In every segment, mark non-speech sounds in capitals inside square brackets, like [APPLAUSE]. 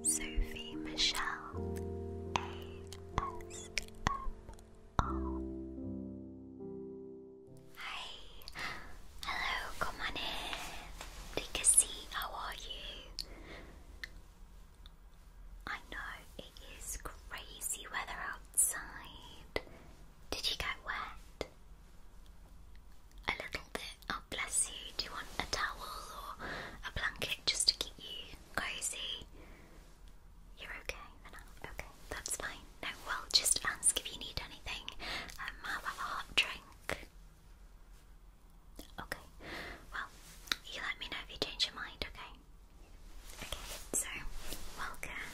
Sophie Michelle ASMR. Hi, hello, come on in. Take a seat, how are you? I know it is crazy weather outside. Did you get wet? a little bit. Oh, bless you. Do you want a towel or a blanket just to keep you cozy? You're okay for now? Okay, that's fine. No, well, just ask if you need anything. Um, have a hot drink. Okay, well, you let me know if you change your mind, okay? Okay, so welcome.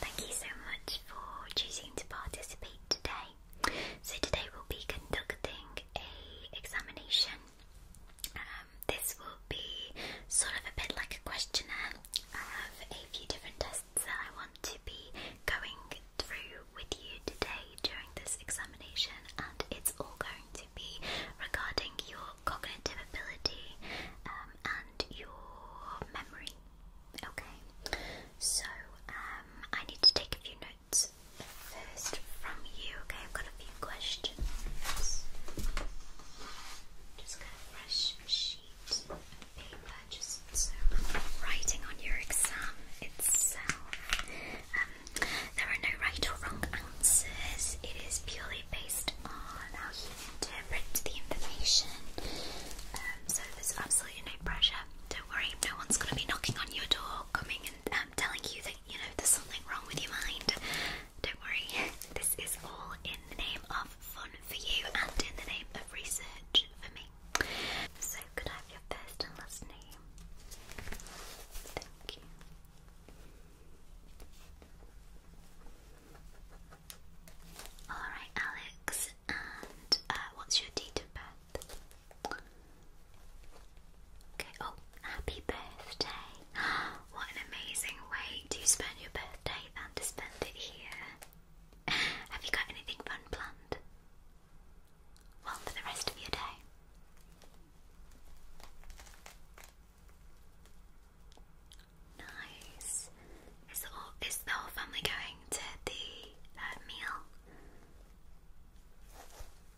Thank you so much for choosing to participate today. So today we'll be conducting a examination. Um, this will be sort of a bit like a questionnaire. I have a few different tests that I want to be going through with you today during this examination, and it's all going to be regarding your cognitive ability um, and your memory. Okay, so um, I need to take a few notes start first from you. Okay, I've got a few questions. Just got a fresh sheet of paper, just writing on your exam itself. Um, there are no right or wrong answers. It is purely based on how you interpret the information. Um, so there's absolutely no pressure. Don't worry, no one's going to be knocking on your door, coming and I'm telling you that you know there's something wrong with your mind. Don't worry, this is all in the name of fun for you and in the name of research for me. So, could I have your first and last name? Thank you. Alright, Alex, and uh, what's your date of birth? oh, happy birthday. [GASPS] What an amazing way to spend your birthday than to spend it here. [LAUGHS] Have you got anything fun planned? Well, for the rest of your day. Nice. Is the whole, family going to the uh, meal?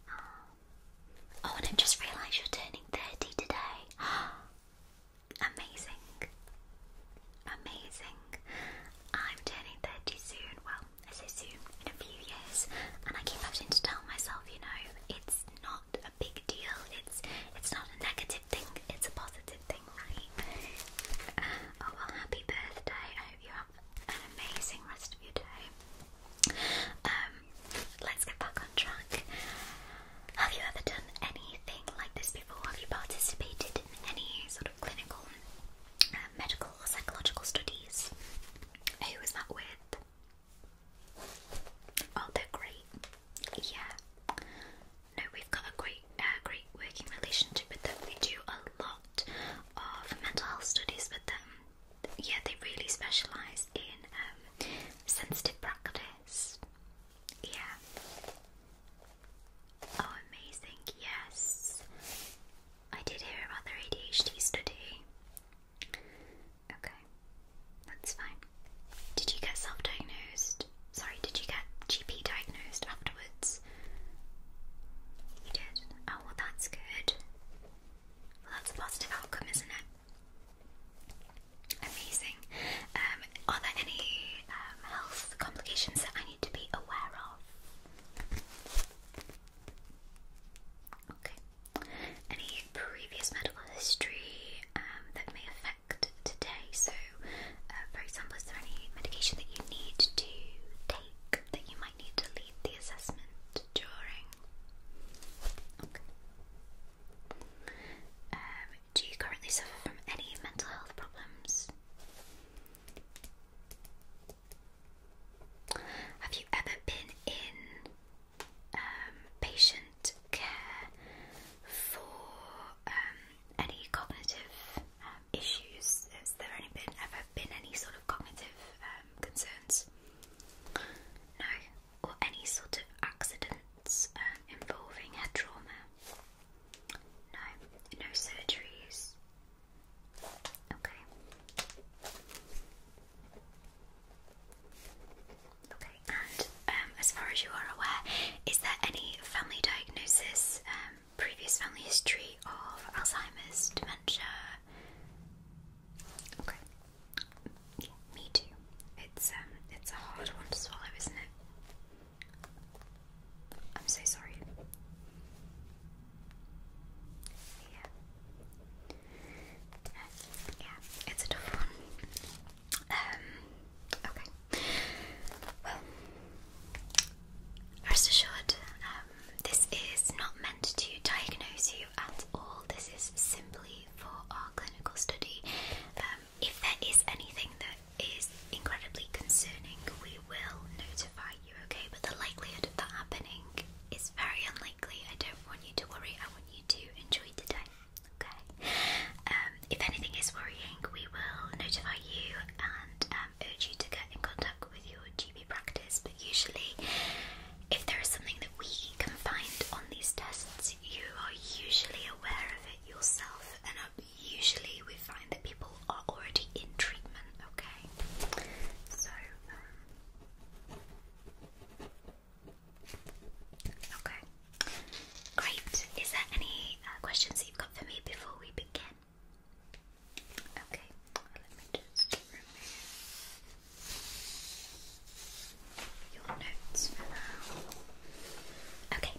Oh. Oh, and i just realised you're turning 30 today. [GASPS] Amazing. Amazing. I'm turning 30 soon. Well, I say soon, in a few years. And I keep having to tell myself, you know, it's not a big deal. It's it's not a negative thing. It's a positive thing, right? [SIGHS] Oh, well, happy birthday. I hope you have an amazing rest of your day. Um, let's get back on track. Have you ever done anything like this before? Have you participated in any sort of clinical, uh, medical, psychological studies? Who that with? Oh, they're great. Yeah. No, we've got a great, uh, great working relationship with them. We do a lot of mental health studies with them yeah, they really specialise in um, sensitive practice. Yeah. Oh, amazing. Yes. I did hear about their ADHD study. Okay. That's fine. Did you get self diagnosed? Sorry, did you get GP diagnosed afterwards? You did. Oh, that's good. Well, that's a positive outcome, isn't it? Amazing. Um, are there any um, health complications that I need to be aware of? Okay. Any previous medical history um, that may affect today? So, uh, for example, is there any medication that you need to take that you need to lead the assessment during. Um, do you currently suffer from any mental health problems? Have you ever been in um, patient care for um, any cognitive issues? Has there any ever been any sort of cognitive concerns? No, or any sort of accidents um, involving head trauma. No, no surgeries. Okay. Okay, and um, as far as you are aware, is there any family diagnosis, um, previous family history of Alzheimer's, dementia, Okay. me too. It's um, it's a hard one to swallow, isn't it? I'm so sorry. Yeah. Uh, yeah, it's a tough one. Um, okay. Well, rest assured, um, this is not meant to diagnose you you at all. This is simply for our clinical study. Um, if there is anything that is incredibly concerning, we will notify you, okay? But the likelihood of that happening is very unlikely. I don't want you to worry, I want you to enjoy today, okay? Um, if anything is worrying, we will notify you and um, urge you to get in contact with your GP practice, but usually, if there is something that we can find on these tests, you are usually aware of it yourself, and uh, usually we find that people are already in treatment. Okay, so. Um, okay, great. Is there any uh, questions you've got for me before we begin? Okay, let me just remove your notes for now. Okay,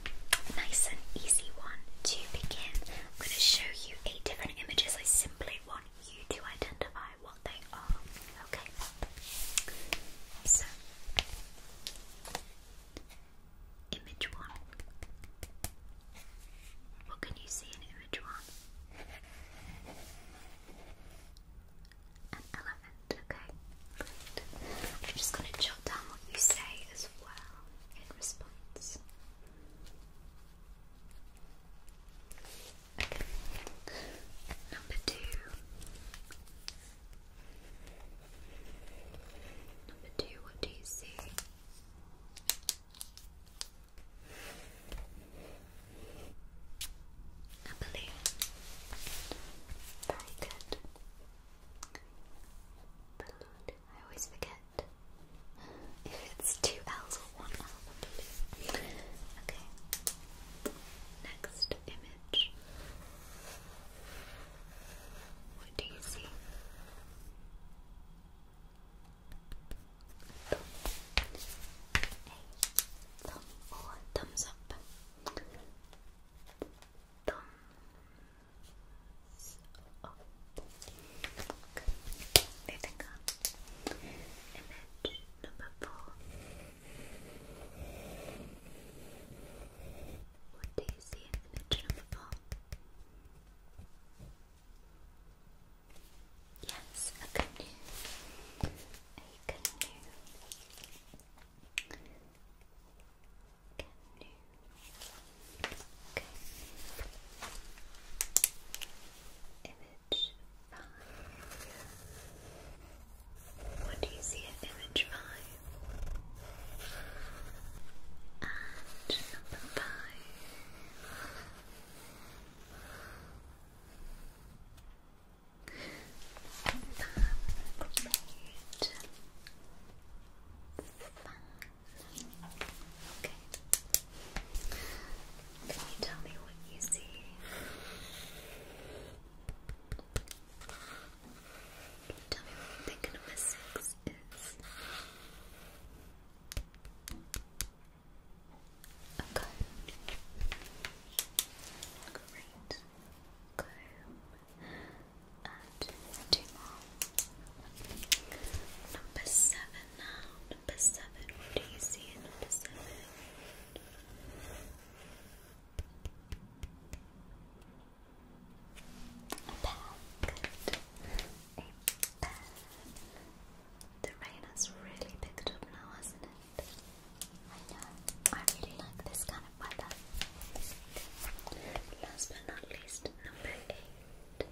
nice and easy one to begin. I'm going to show you eight different images. I simply want you to identify what they are. Okay, so image one. What can you see in which one? An elephant, okay. I'm just going to jot down what you say as well in response. Okay. Number two. Number two, what do you see? A balloon. Very good. Balloon. I always forget if it's two L's or one L balloon. Okay. Next image. What do you see? a thumb thumbs up. Thumbs up. Good. Moving on. Image number four. What do you see in image number four? Yes, a canoe. A canoe. Canoe. Okay. Image five. What do you see image five? And number five. Perfect. Okay. Can you tell me what you see? Can you tell me what you think number six is? Okay. Okay. Great. Comb and two more. Number seven now. Number seven. What do you see in number seven? A pair. The rain has really picked up now, hasn't it? I know. I really like this kind of weather. Last but not least, number eight.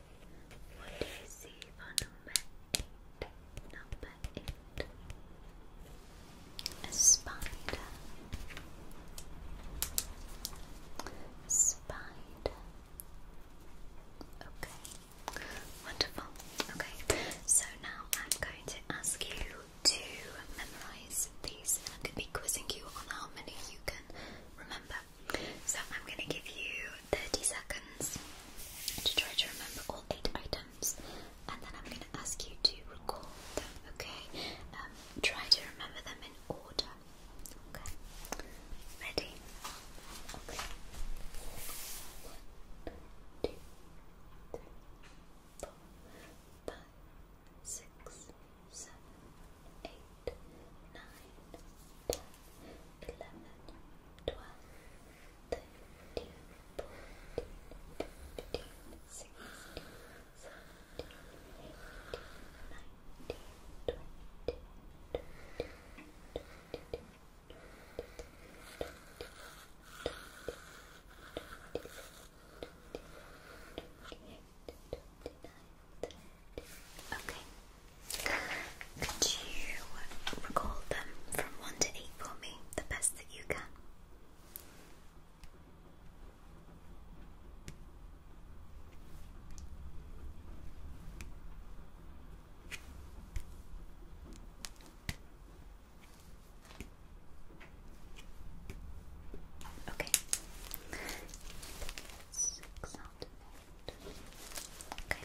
What do you see for number eight? Number eight. A spider. Spider. Okay. Wonderful. Okay, so now I'm going to ask you to memorize these, I'm going to be quizzing you on how many you can remember. So I'm going to give you 30 seconds to try to remember all eight items, and then I'm going to ask you to recall them. Okay, um, try to remember them in order. Okay, ready? Okay two, three, four, five, six, seven, eight, nine, ten, eleven, twelve, thirteen, fourteen, fifteen, sixteen, seventeen, eighteen, nineteen, twenty, twenty-one, twenty-two. 23, Okay. Could you recall them from one to eight for me, the best you can? Okay. Okay.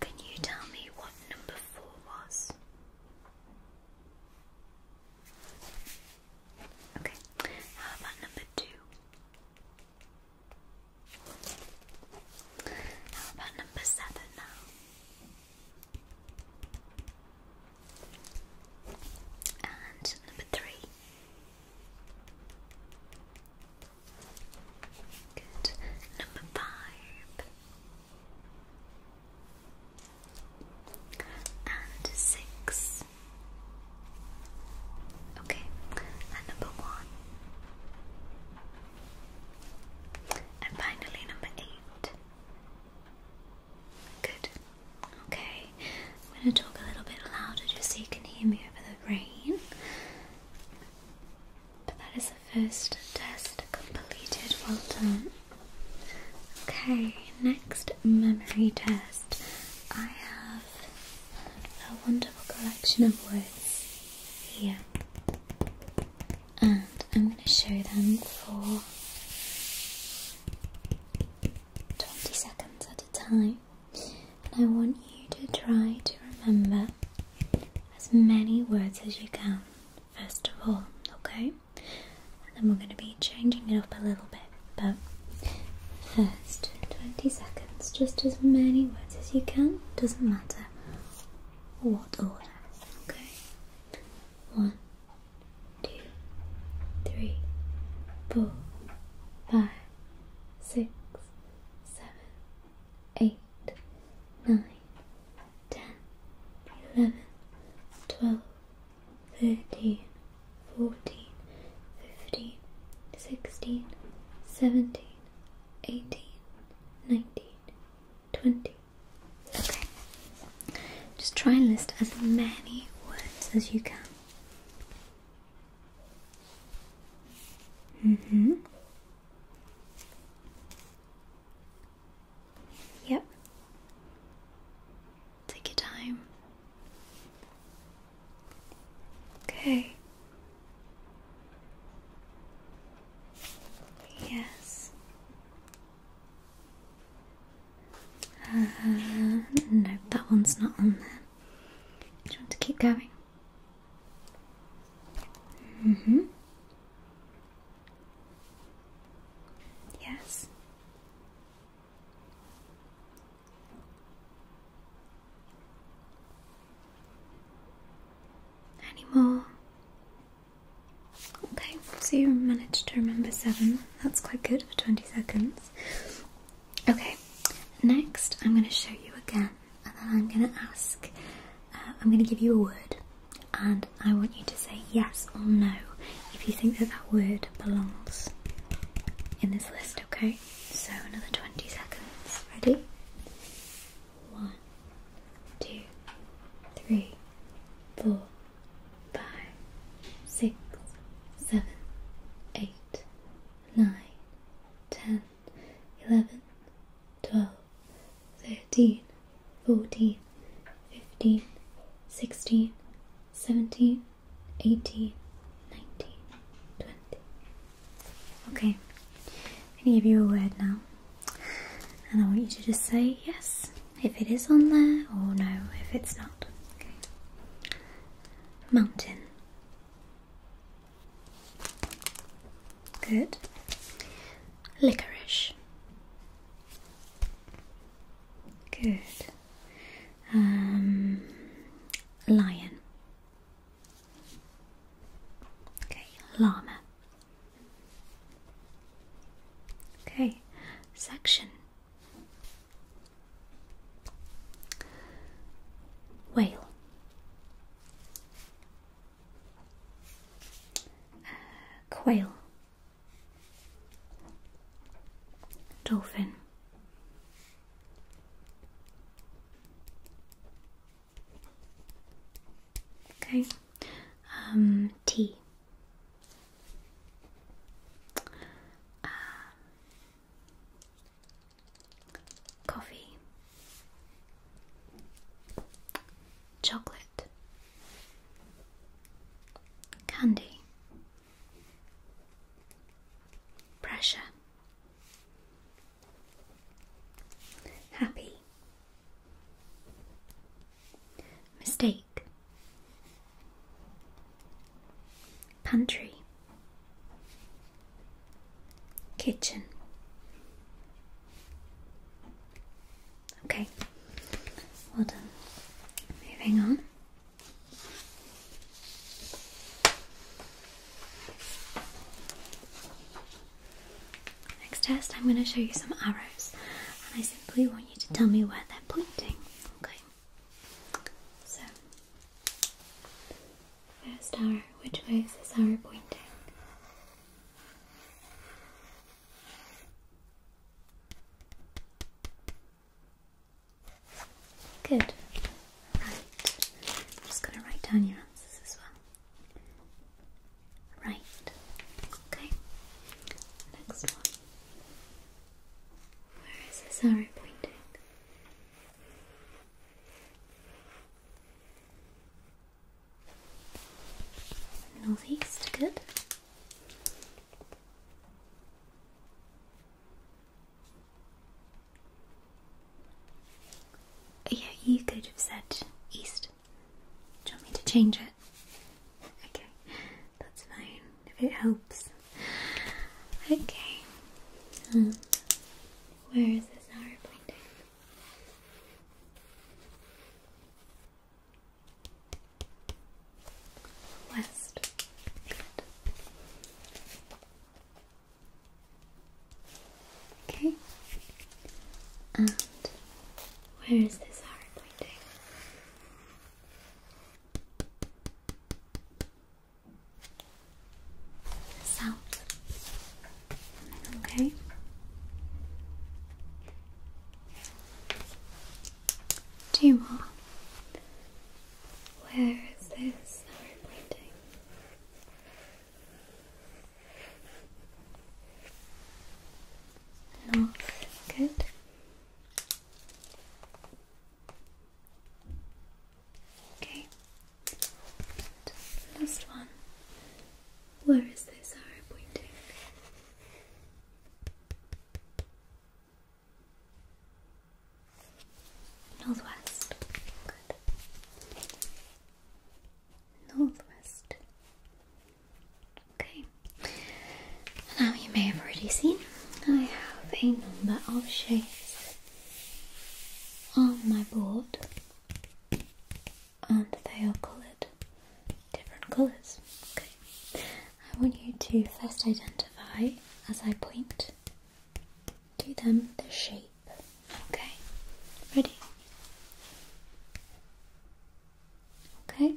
Can you tell me what number four was? Okay. How about number two? How about number seven now? And number three. Good. Number five. And six. Okay. And number one. And finally, number eight. Good. Okay. I'm going to talk a little bit louder just so you can hear me over the rain. But that is the first test completed. Well done. Okay, next memory test. I have a wonderful collection of words here and I'm going to show them for 20 seconds at a time and I want you to try to remember as many words as you can first of all okay then we're going to be changing it up a little bit but first 20 seconds just as many words as you can doesn't matter what order. Okay. One, two, three, four, five, six, seven, eight, nine, ten, eleven, twelve, thirteen, fourteen, fifteen, sixteen, seventeen, eighteen, nineteen, 20. Okay. Just try and list as many words as you can. Mm hmm. Yep. Take your time. Okay. Yes. Uh, no, that one's not on there. Do you want to keep going? Mm hmm. Yes. Any more? Okay, so you managed to remember seven. That's quite good for 20 seconds. Okay, next I'm going to show you again, and then I'm going to ask, uh, I'm going to give you a word, and I want you to say yes or no if you think that that word belongs in this list, okay? So another 20 seconds. Ready? One, two, three, four, five, six, seven, eight, nine, ten, eleven, twelve, thirteen, fourteen, fifteen, sixteen, seventeen, eighteen, nineteen, twenty. Okay, I'm gonna give you a word now and I want you to just say yes if it is on there or no if it's not. Okay. Mountain. Good. Licorice. Good. Um, lion. Okay, llama. Okay, section. Whale. quail. Dolphin. Okay. Um, T. Um, coffee. Chocolate. Candy. Pressure. Happy. Mistake. Pantry. Kitchen. Okay, well done. Moving on. Next test, I'm going to show you some arrows, and I simply want you to tell me where they're pointing. Okay. So, first arrow. Which way is this arrow pointing? Good. Right. I'm just going to write down your answers as well. Right. Okay. Next one. Where is this arrow pointing? Northeast, good. Yeah, you could have said east. Do you want me to change it? Okay, that's fine if it helps. Okay, um, where is this arrow pointing? West. Okay. And where is this heart pointing? South. Okay. Two more. Where is this arrow pointing? North, good. Okay. last one. Where is this arrow pointing? Northwest. Good. Northwest. Okay, now you may have already seen I have a number of shapes on my board and they are coloured different colours. Okay, I want you to first identify as I point to them the shape. Okay, ready? Okay.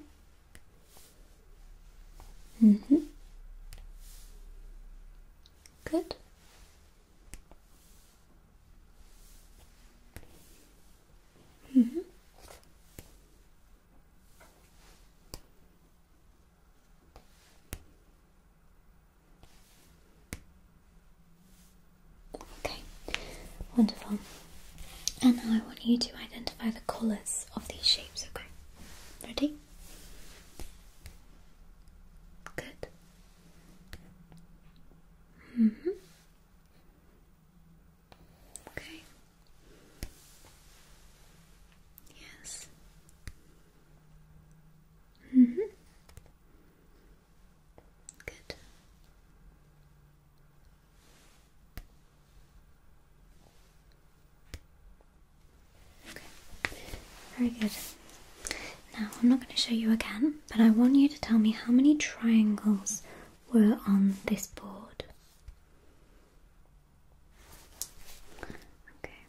Mm-hmm. Good. Mm-hmm. Okay, wonderful. And now I want you to identify the colours of these shapes, okay? Ready? Good. Mm hmm. Okay. Yes. Mm hmm. Good very good. Now, I'm not going to show you again, but I want you to tell me how many triangles were on this board. Okay.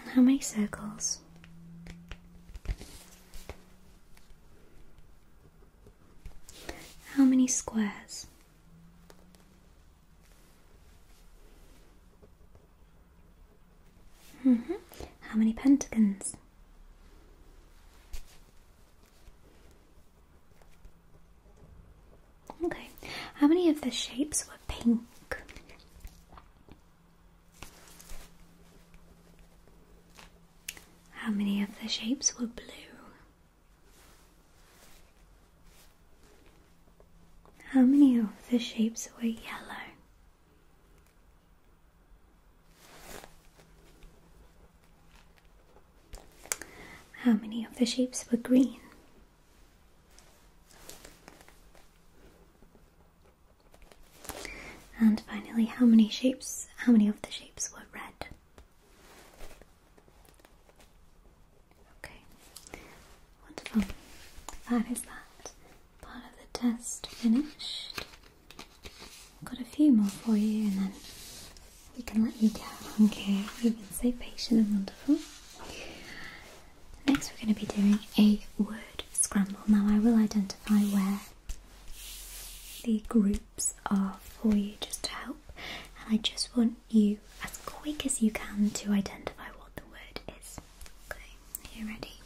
And how many circles? How many squares? -hmm. How many pentagons? Okay, how many of the shapes were pink? How many of the shapes were blue? How many of the shapes were yellow? How many of the shapes were green? And finally, how many shapes, how many of the shapes were red? Okay, wonderful. That is that part of the test finished. Got a few more for you, and then we can let you go. Okay, you've been so patient and wonderful. Next, we're going to be doing a word scramble. Now, I will identify I wear. the groups are for you just to help. And I just want you, as quick as you can, to identify what the word is. Okay, are you ready?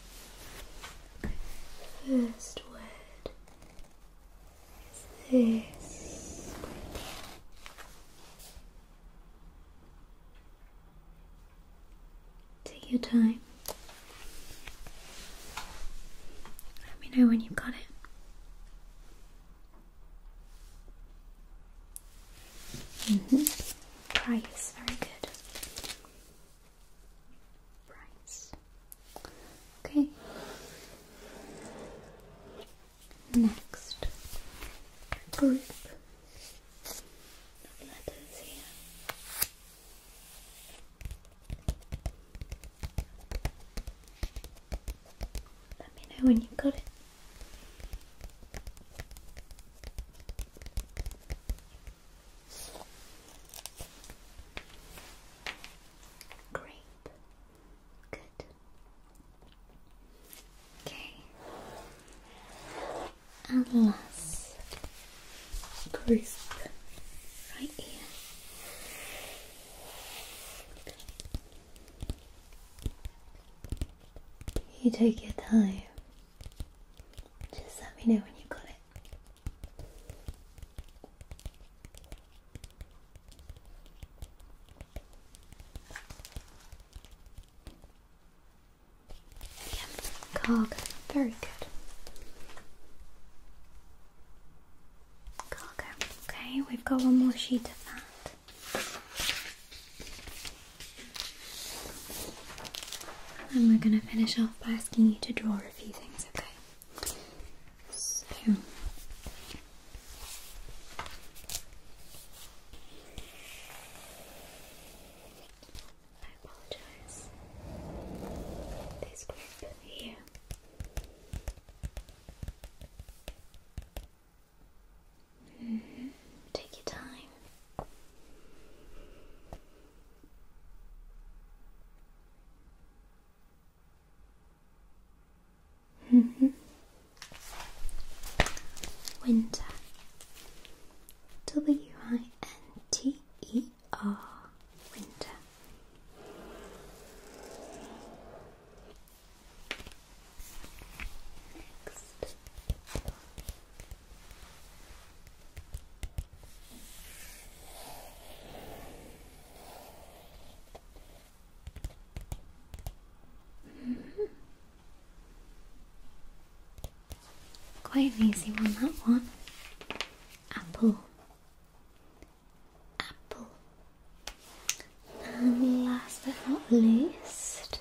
First word is this. Take your time. Let me know when you've got it. Mm -hmm. Price, very good. Price. Okay. Next group letters here. Let me know when you've got it. Great. Good. Okay and last group right here. You take your time. Just let me know when you have got it cargo. Very good. Cargo. Okay, we've got one more sheet of that. And we're going to finish off by asking you to draw a few things, okay? I apologize. This grip here. Take your time. Mm-hmm. Winter. W I N T E or winter. Next. Mm-hmm. Quite an easy one, that one. Apple. Apple. And last but not least,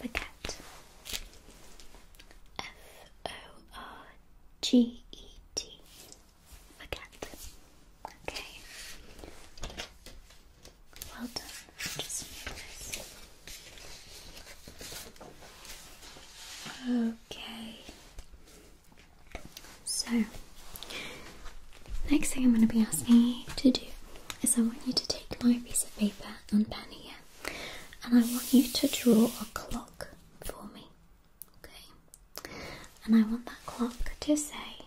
Forget. F O R G E T. Forget. Okay. Well done. Just Okay. So, next thing I'm going to be asking you to do is I want you to take my piece of paper and pen here and I want you to draw a clock for me. Okay, and I want that clock to say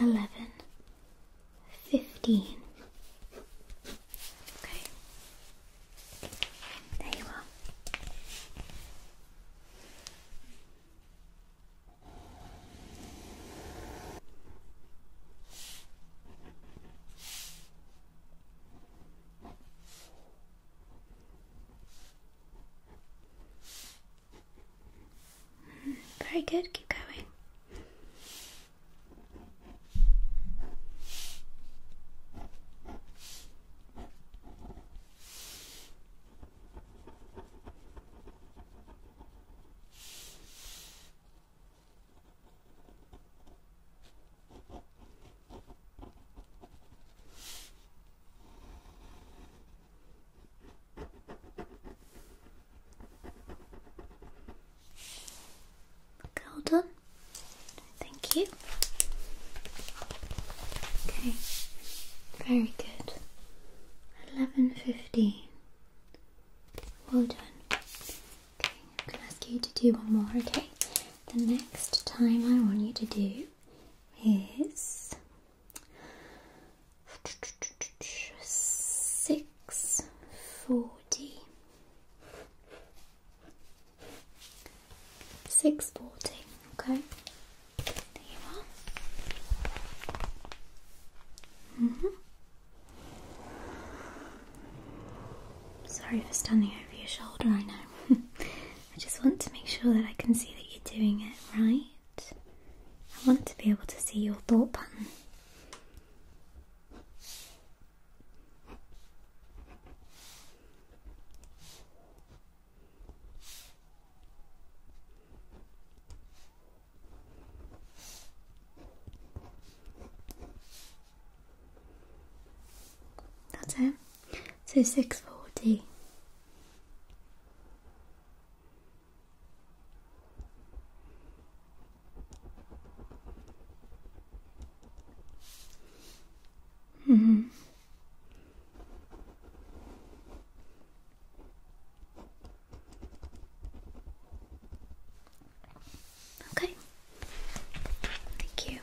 eleven fifteen. Okay, there you are. Very good, keep going. Hold on. Thank you. Okay. Very good. Eleven fifteen. Well done. Okay, I'm gonna ask you to do one more, okay? The next time I want you to do is six forty. Six forty, okay? There you are. hmm Sorry for standing over your shoulder, I know. [LAUGHS] I just want to make sure that I can see that you're doing it right. I want to be able to see your thought pattern. That's it. So six forty. Mm-hmm. Okay. Thank you.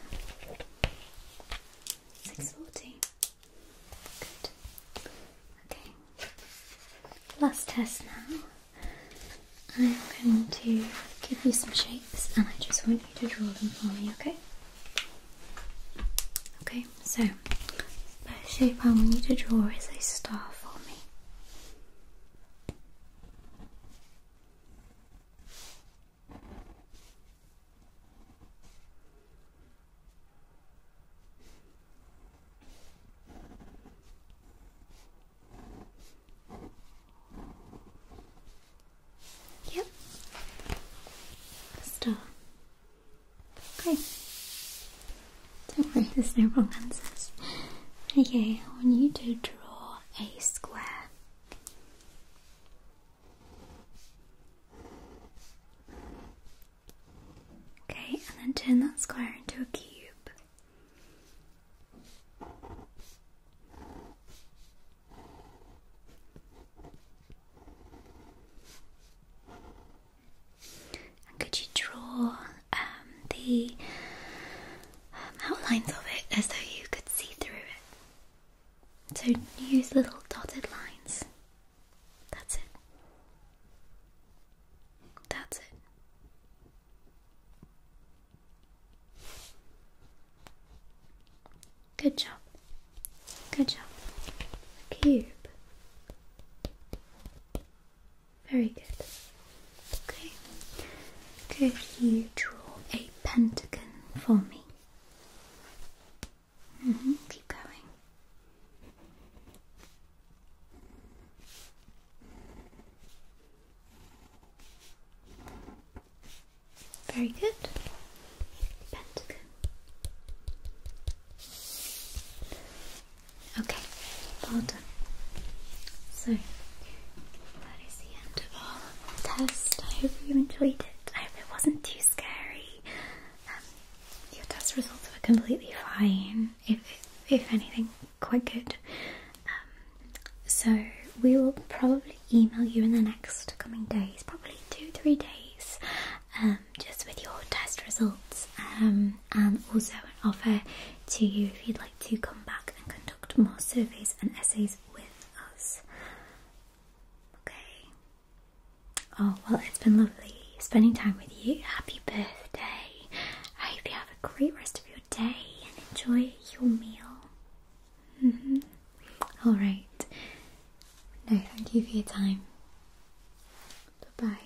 Six forty. Good. Okay. Last test now. I'm going to give you some shapes and I just want you to draw them for me, okay? Okay, so first shape I want you to draw is a star for me. Yep. Stop. Okay. Don't worry, there's no wrong answers. Okay, When you do draw a square. Okay, and then turn that square into a cube. could you draw um, the outlines of it as though you could see through it. So use little dotted lines. That's it. That's it. Good job. Good job. cube. Very good. Okay. Could you draw a pentagon for me? Mm-hmm. Keep going. Very good. Pentagon. Okay, so that is the end of our test. I hope you enjoyed it. I hope it wasn't too scary. Um, your test results were completely fine. If if anything, quite good. Um, so we will probably email you in the next coming days, probably two three days, um, just with your test results and also an offer to you if you'd like to come back and conduct more surveys and essays with us. Okay. Oh, well, it's been lovely spending time with you. Happy birthday. I hope you have a great rest of your day and enjoy your meal. -hmm. All right. No, thank you for your time. Bye bye.